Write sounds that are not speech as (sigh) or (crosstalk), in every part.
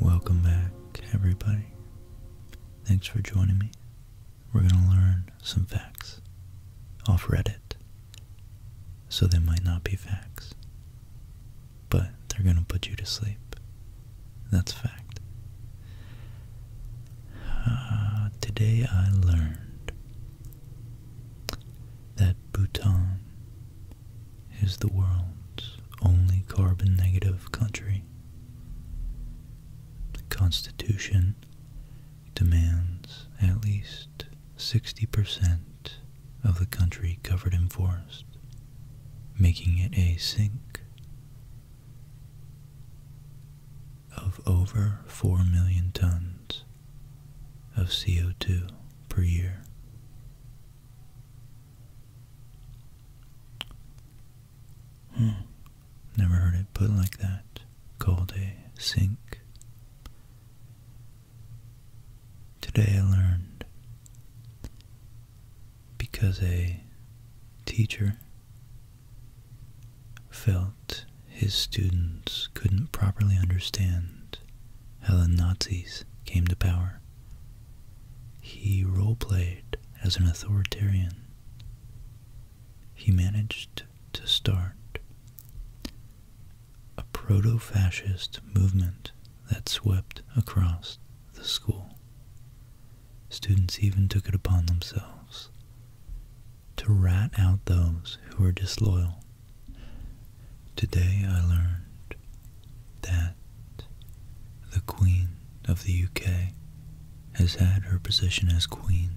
Welcome back, everybody. Thanks for joining me. We're going to learn some facts off Reddit. So they might not be facts, but they're going to put you to sleep. That's fact. Uh, today I learned that Bhutan is the world's only carbon negative country. The Constitution demands at least 60% of the country covered in forest, making it a sink of over 4 million tons of CO2 per year. Hmm. Never heard it put like that. Called a sink. Today I learned because a teacher felt his students couldn't properly understand how the Nazis came to power. He role-played as an authoritarian. He managed to start a proto-fascist movement that swept across the school. Students even took it upon themselves to rat out those who are disloyal. Today I learned that the Queen of the UK has had her position as Queen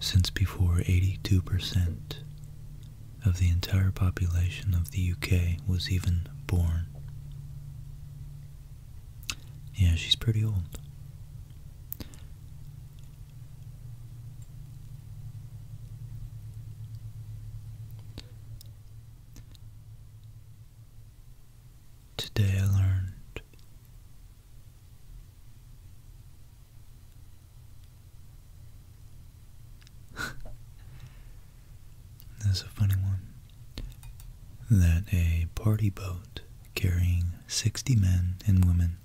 since before 82% of the entire population of the UK was even born. Yeah, she's pretty old. Today I learned (laughs) That's a funny one. That a party boat carrying 60 men and women.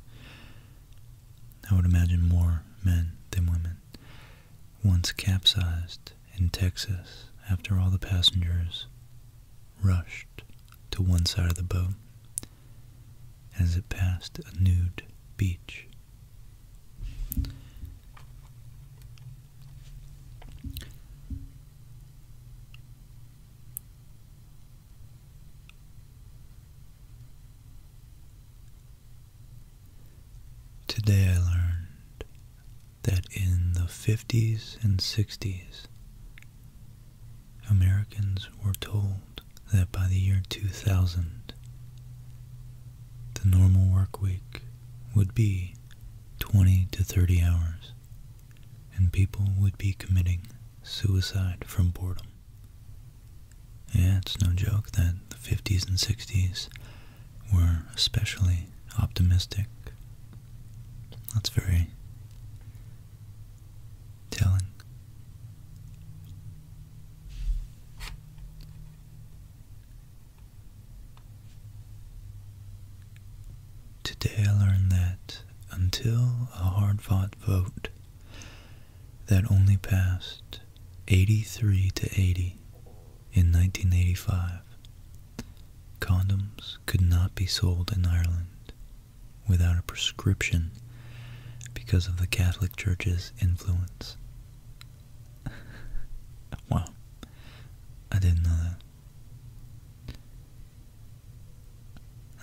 I would imagine more men than women. Once capsized in Texas after all the passengers rushed to one side of the boat as it passed a nude beach. Today I learned that in the 50s and 60s, Americans were told that by the year 2000, the normal work week would be 20 to 30 hours and people would be committing suicide from boredom. Yeah, it's no joke that the 50s and 60s were especially optimistic. That's very telling. Today I learned that until a hard fought vote that only passed 83 to 80 in 1985, condoms could not be sold in Ireland without a prescription because of the Catholic Church's influence. (laughs) wow, I didn't know that.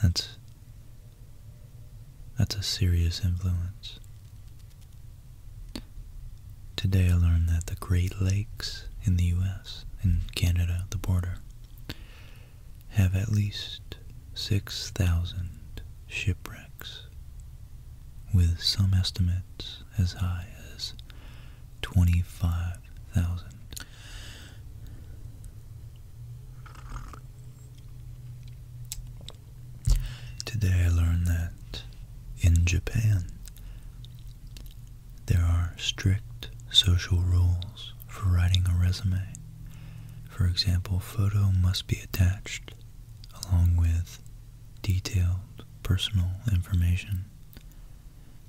That's that's a serious influence. Today I learned that the Great Lakes in the US and Canada at the border have at least 6,000 shipwrecks, with some estimates as high as twenty-five thousand. Today I learned that in Japan there are strict social rules for writing a resume. For example, photo must be attached along with detailed personal information.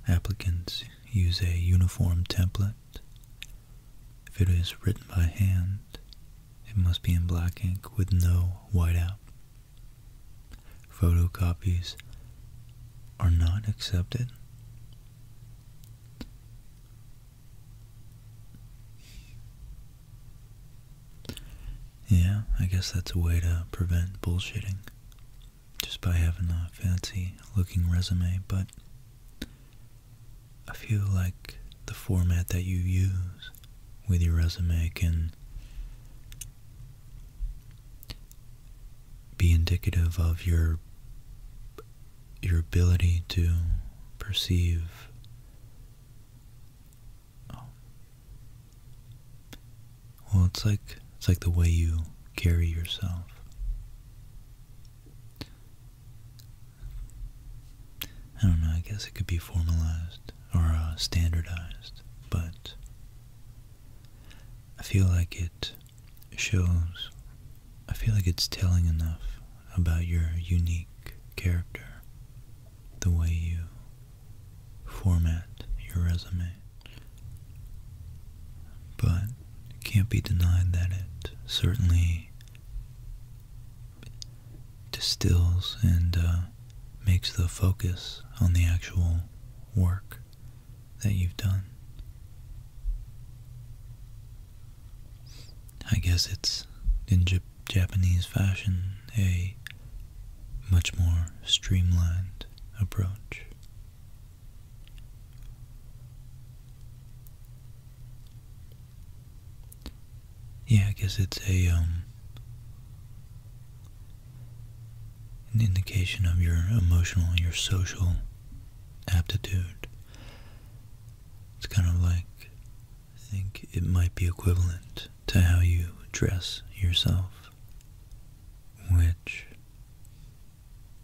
Applicants use a uniform template. If it is written by hand, it must be in black ink with no whiteout. Photocopies are not accepted. Yeah, I guess that's a way to prevent bullshitting just by having a fancy looking resume, but I feel like the format that you use with your resume can be indicative of your your ability to perceive um, well, it's like it's like the way you carry yourself. I don't know, I guess it could be formalized or uh, standardized, but I feel like it shows, I feel like it's telling enough about your unique character, the way you format your resume. But it can't be denied that it certainly distills and uh, makes the focus on the actual work that you've done. I guess it's in Japanese fashion a much more streamlined approach. Yeah, I guess it's a um, an indication of your emotional, your social aptitude. It's kind of like I think it might be equivalent to how you dress yourself, which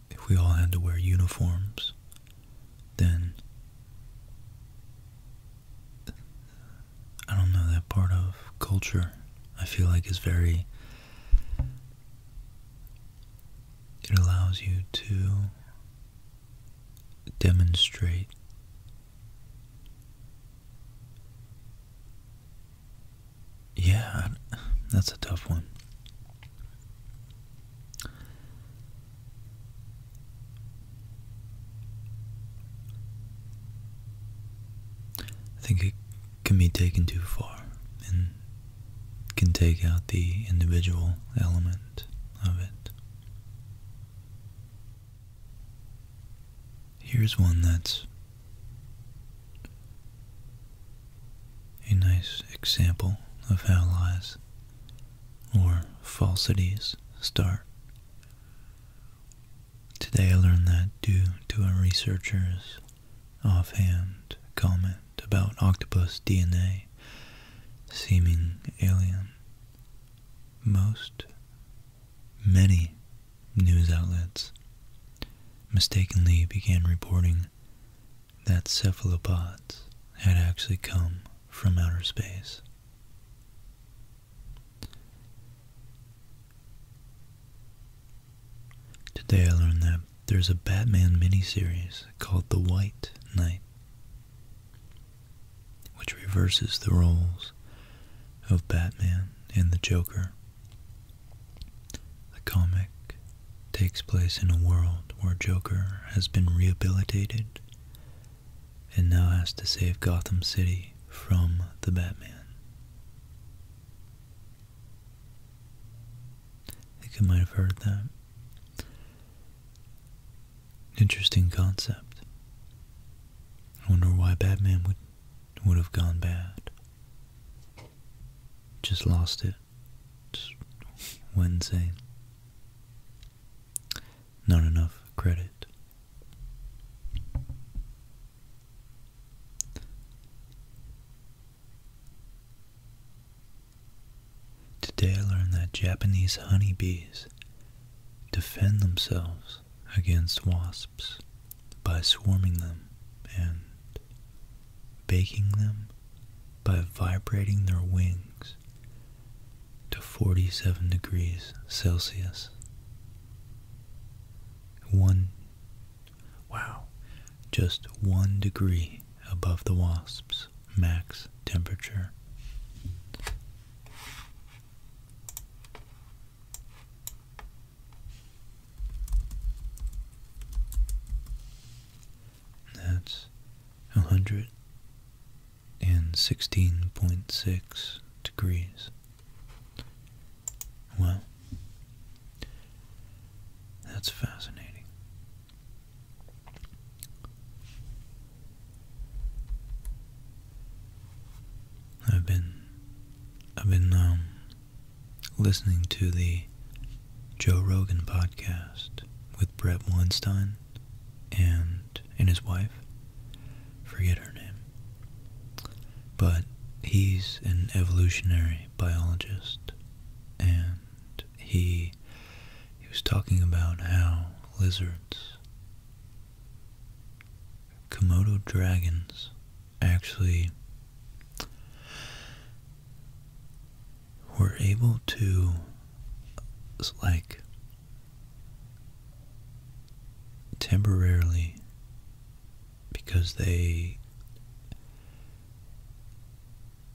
if we all had to wear uniforms, then I don't know that part of culture I feel like is very it allows you to demonstrate yeah, that's a tough one. I think it can be taken too far and can take out the individual element of it. Here's one that's a nice example of how lies or falsities start. Today I learned that due to a researcher's offhand comment about octopus DNA seeming alien, most, many news outlets mistakenly began reporting that cephalopods had actually come from outer space. Today I learned that there's a Batman miniseries called The White Knight, which reverses the roles of Batman and the Joker. The comic takes place in a world where Joker has been rehabilitated and now has to save Gotham City from the Batman. think you might have heard that. Interesting concept. I wonder why Batman would would have gone bad. Just lost it. Wednesday. Not enough credit. Today I learned that Japanese honeybees defend themselves against wasps by swarming them and baking them by vibrating their wings to 47 degrees Celsius. One, wow, just one degree above the wasp's max temperature. That's 116.6 degrees. Well, that's fascinating. I've been, I've been, um, listening to the Joe Rogan podcast with Brett Weinstein and and his wife. Forget her name. But he's an evolutionary biologist and he he was talking about how lizards Komodo dragons actually were able to like temporarily because they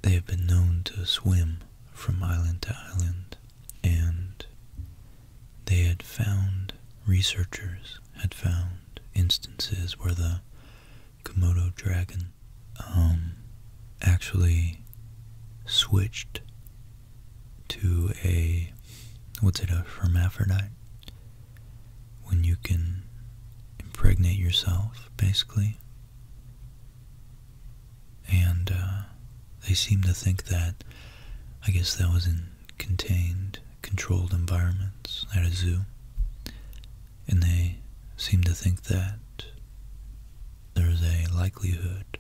they have been known to swim from island to island and they had found researchers had found instances where the Komodo dragon um, actually switched to a, what's it, a hermaphrodite? When you can impregnate yourself, basically. And uh, they seem to think that, I guess that was in contained, controlled environments at a zoo, and they seem to think that there is a likelihood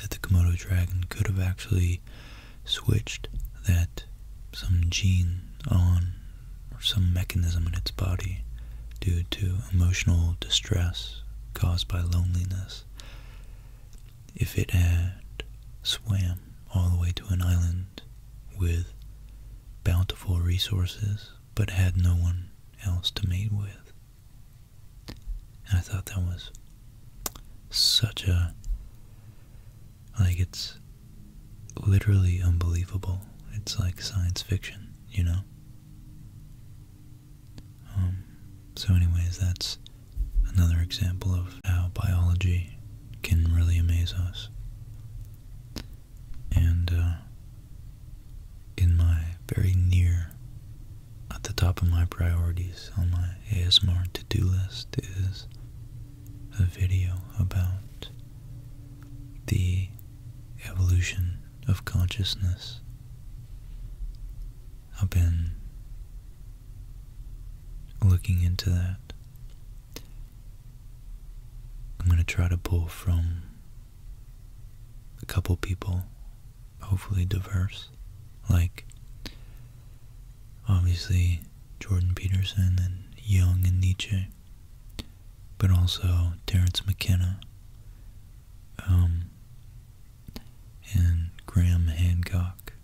that the Komodo dragon could have actually switched that some gene on or some mechanism in its body due to emotional distress caused by loneliness if it had swam all the way to an island with bountiful resources but had no one else to mate with. And I thought that was such a like it's literally unbelievable. It's like science fiction, you know. Um so anyways, that's another example of how biology can really amaze us. And uh, in my very near, at the top of my priorities on my ASMR to-do list is a video about the evolution of consciousness. I've been looking into that. I'm going to try to pull from a couple people, hopefully diverse, like obviously Jordan Peterson and Jung and Nietzsche, but also Terrence McKenna um, and Graham Hancock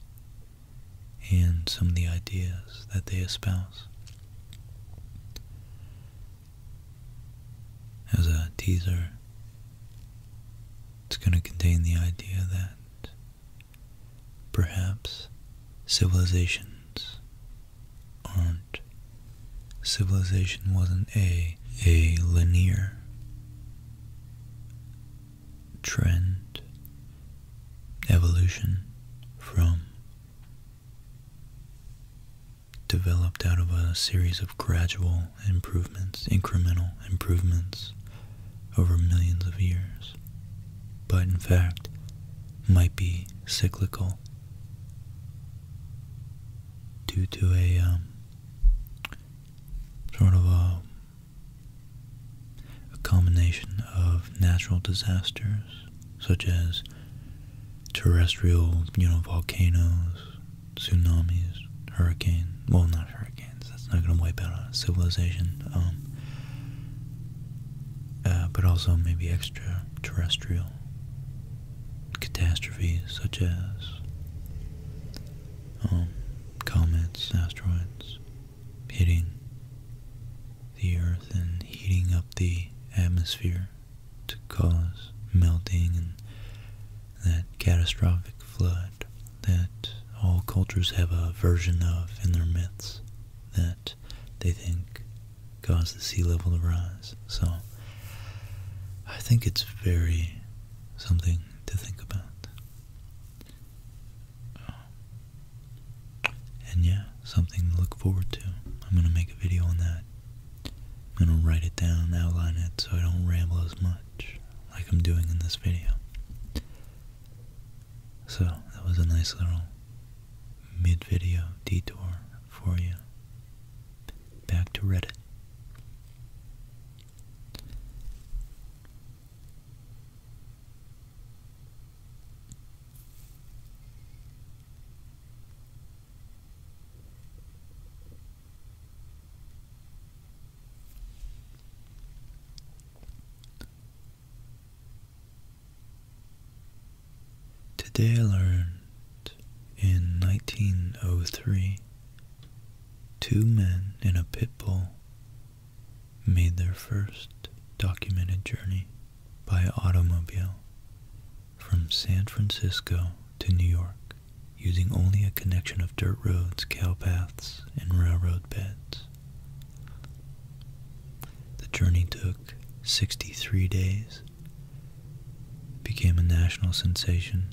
and some of the ideas that they espouse. As a teaser, it's going to contain the idea that perhaps civilizations aren't, civilization wasn't a, a linear trend, evolution from developed out of a series of gradual improvements, incremental improvements over millions of years, but in fact might be cyclical due to a um, sort of a a combination of natural disasters, such as terrestrial, you know, volcanoes, tsunamis, hurricanes, well, not hurricanes, that's not going to wipe out a civilization, um, uh, but also maybe extraterrestrial catastrophes such as um, comets, asteroids, hitting the earth and heating up the atmosphere to cause melting and that catastrophic flood that all cultures have a version of in their myths that they think caused the sea level to rise. So I think it's very something to think about and yeah, something to look forward to. I'm going to make a video on that. I'm going to write it down, outline it, so I don't ramble as much like I'm doing in this video. So, that was a nice little mid-video detour for you. Back to Reddit. Today I learned in 1903 two men in a pit bull made their first documented journey by automobile from San Francisco to New York using only a connection of dirt roads, cow paths, and railroad beds. The journey took 63 days, became a national sensation,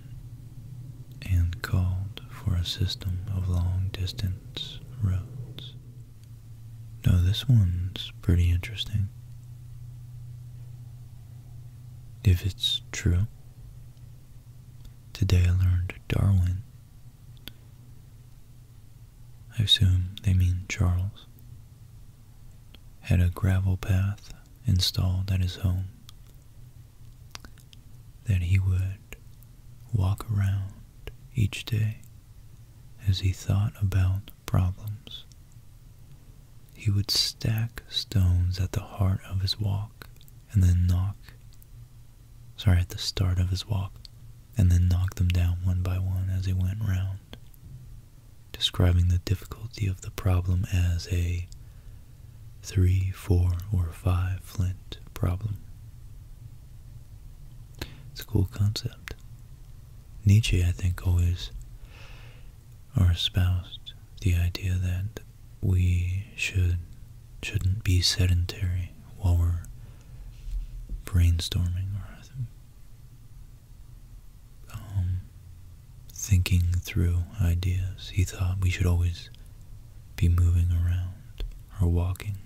and called for a system of long distance Woodlands Roads. Now, this one's pretty interesting. If it's true, today I learned Darwin. I assume they mean Charles. Had a gravel path installed at his home that he would walk around each day as he thought about problems. He would stack stones at the heart of his walk and then knock, sorry, at the start of his walk, and then knock them down one by one as he went round, describing the difficulty of the problem as a three, four, or five flint problem. It's a cool concept. Nietzsche, I think, always or espoused the idea that we should shouldn't be sedentary while we're brainstorming or um, thinking through ideas. He thought we should always be moving around or walking.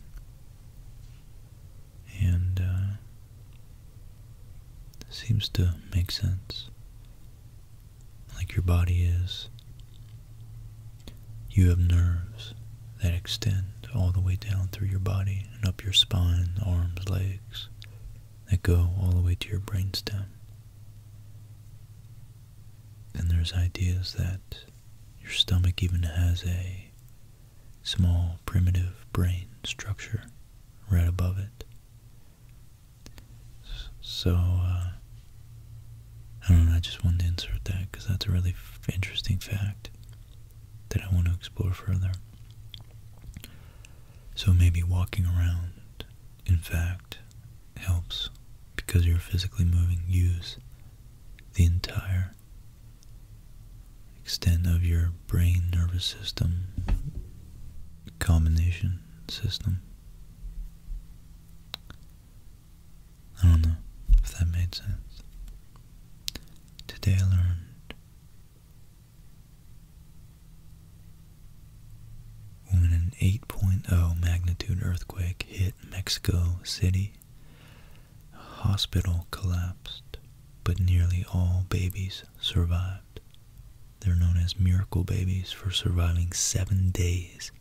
And uh, seems to make sense. Like your body is, you have nerves that extend all the way down through your body and up your spine, arms, legs, that go all the way to your brainstem. And there's ideas that your stomach even has a small primitive brain structure right above it. So, uh, I I just wanted to insert that because that's a really interesting fact that I want to explore further. So maybe walking around, in fact, helps because you're physically moving, use the entire extent of your brain nervous system combination system. I don't know if that made sense. Today I learned when an 8.0 magnitude earthquake hit Mexico City hospital collapsed, but nearly all babies survived. They're known as miracle babies for surviving seven days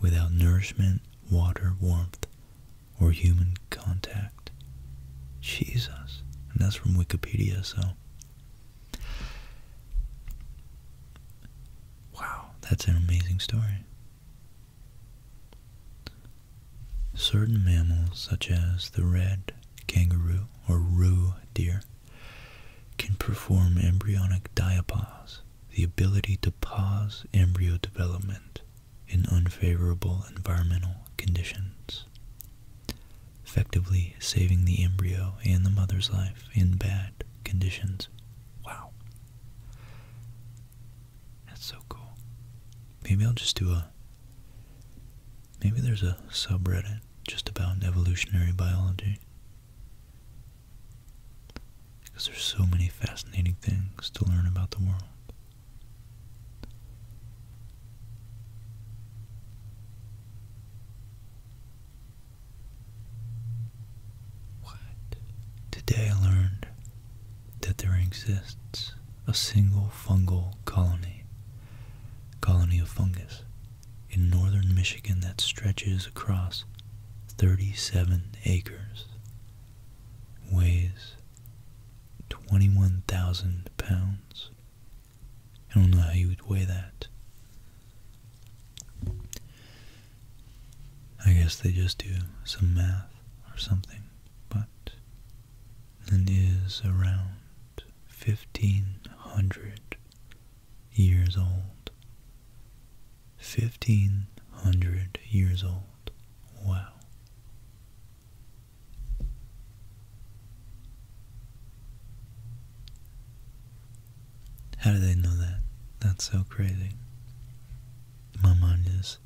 without nourishment, water, warmth, or human contact. Jesus. And that's from Wikipedia, so. Wow, that's an amazing story. Certain mammals, such as the red kangaroo or roo deer, can perform embryonic diapause, the ability to pause embryo development in unfavorable environmental conditions, effectively saving the embryo and the mother's life in bad conditions. Wow. That's so cool. Maybe I'll just do a. Maybe there's a subreddit just about evolutionary biology. Because there's so many fascinating things to learn about the world. What? Today I learned that there exists a single fungal colony, colony of fungus, in northern Michigan that stretches across 37 acres, weighs 21,000 pounds. I don't know how you would weigh that. I guess they just do some math or something, but it is around 1500 years old. 1500 years old. Wow. How do they know that? That's so crazy. My mind is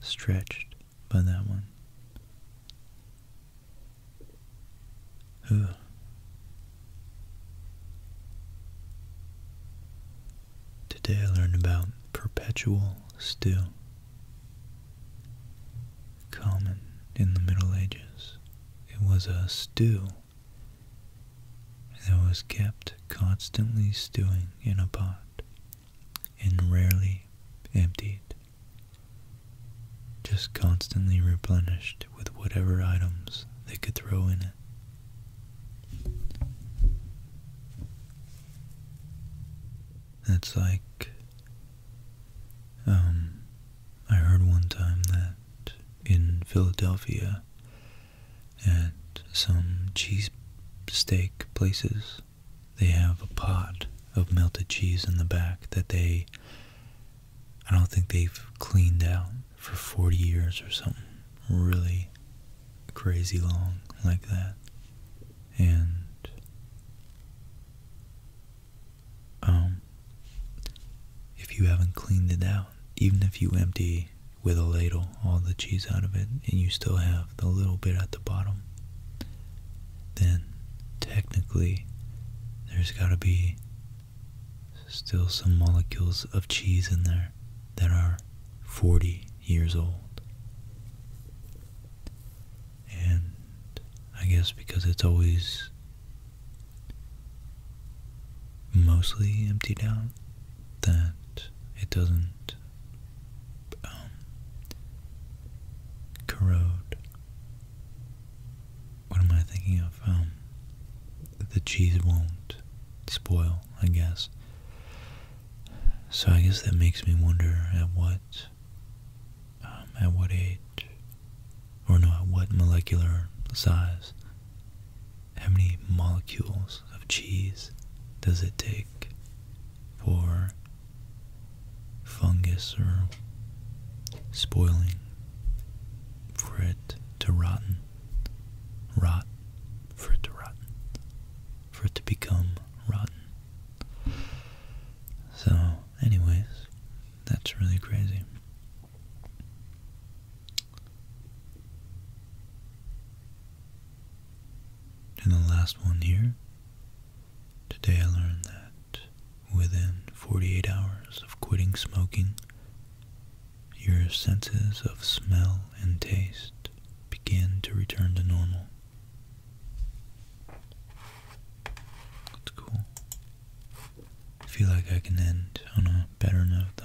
stretched by that one. Ugh. Today I learned about perpetual stew, common in the Middle Ages. It was a stew that was kept constantly stewing in a pot and rarely emptied, just constantly replenished with whatever items they could throw in it. It's like, um, I heard one time that in Philadelphia, at some cheese steak places, they have a pot of melted cheese in the back that they, I don't think they've cleaned out for 40 years or something. Really crazy long like that. And, um, if you haven't cleaned it out, even if you empty with a ladle all the cheese out of it and you still have the little bit at the bottom, then technically there's got to be still some molecules of cheese in there that are 40 years old. And I guess because it's always mostly emptied out, that it doesn't um, corrode. What am I thinking of? Um, the cheese won't spoil, I guess. So I guess that makes me wonder at what, um, at what age, or not what molecular size how many molecules of cheese does it take for fungus or spoiling for it to rotten, rot, for it to rotten, for it to become rotten? So, anyways, that's really crazy. And the last one here. Today I learned that within 48 hours of quitting smoking, your senses of smell and taste begin to return to normal. That's cool. I feel like I can end on a better note though.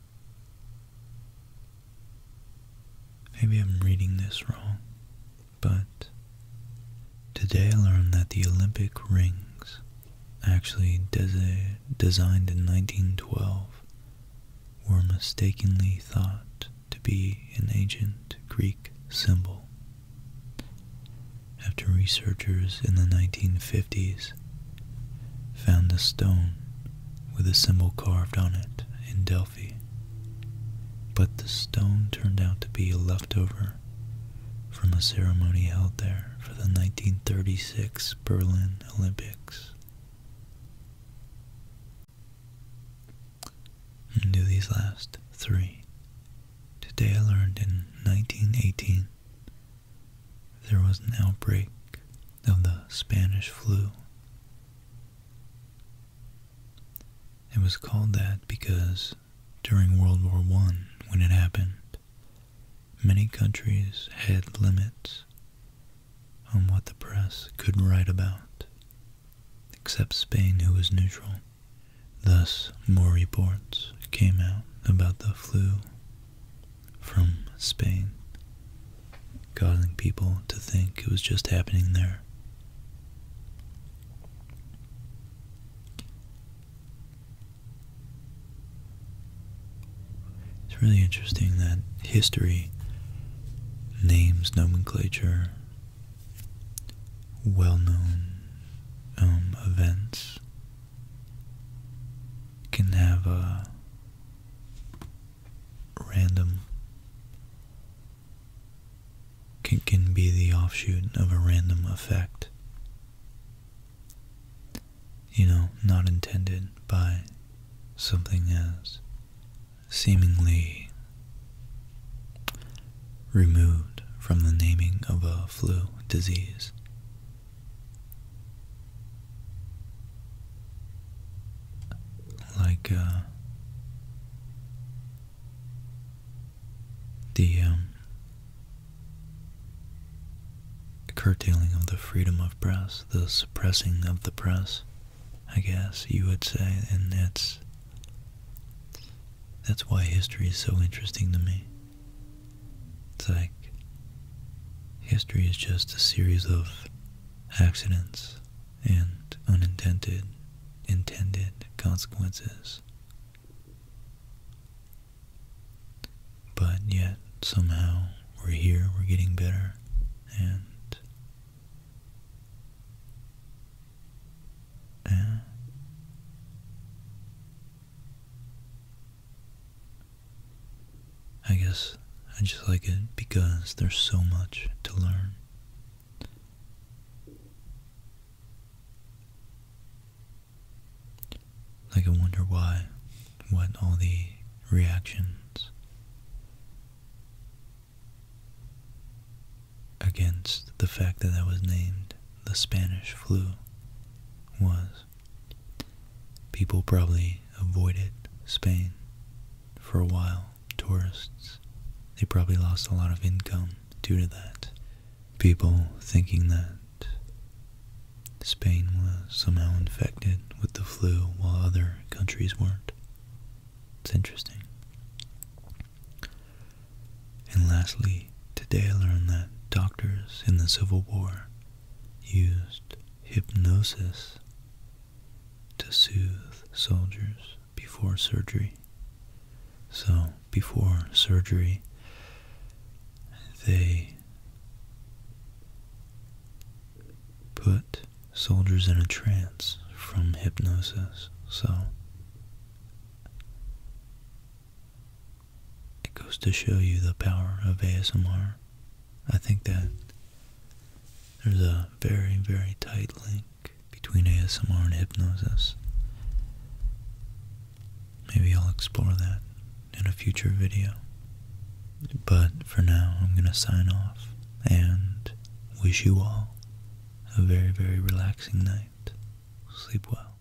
Maybe I'm reading this wrong, but today I learned that the Olympic rings, actually designed in 1912, were mistakenly thought to be an ancient Greek symbol. After researchers in the 1950s found a stone with a symbol carved on it in Delphi, but the stone turned out to be a leftover from a ceremony held there for the 1936 Berlin Olympics. And do these last three. Today I learned in 1918 there was an outbreak of the Spanish flu. It was called that because during World War I, when it happened, many countries had limits on what the press could write about, except Spain, who was neutral. Thus, more reports came out about the flu from Spain, causing people to think it was just happening there. It's really interesting that history names, nomenclature, well known um, events can have a random can, can be the offshoot of a random effect you know not intended by something as seemingly removed from the naming of a flu disease like uh, um, the, curtailing of the freedom of press, the suppressing of the press, I guess you would say, and it's that's why history is so interesting to me. It's like history is just a series of accidents and unintended intended consequences. But yet somehow we're here, we're getting better and uh, I guess I just like it because there's so much to learn. Like, I wonder why, what all the reactions against the fact that I was named the Spanish flu was. People probably avoided Spain for a while, tourists. They probably lost a lot of income due to that. People thinking that Spain was somehow infected with the flu while other countries weren't. It's interesting. And lastly, today I learned that doctors in the Civil War used hypnosis to soothe soldiers before surgery. So, before surgery, they put soldiers in a trance from hypnosis. So, it goes to show you the power of ASMR. I think that there's a very, very tight link between ASMR and hypnosis. Maybe I'll explore that in a future video. But for now, I'm going to sign off and wish you all a very, very relaxing night. Sleep well.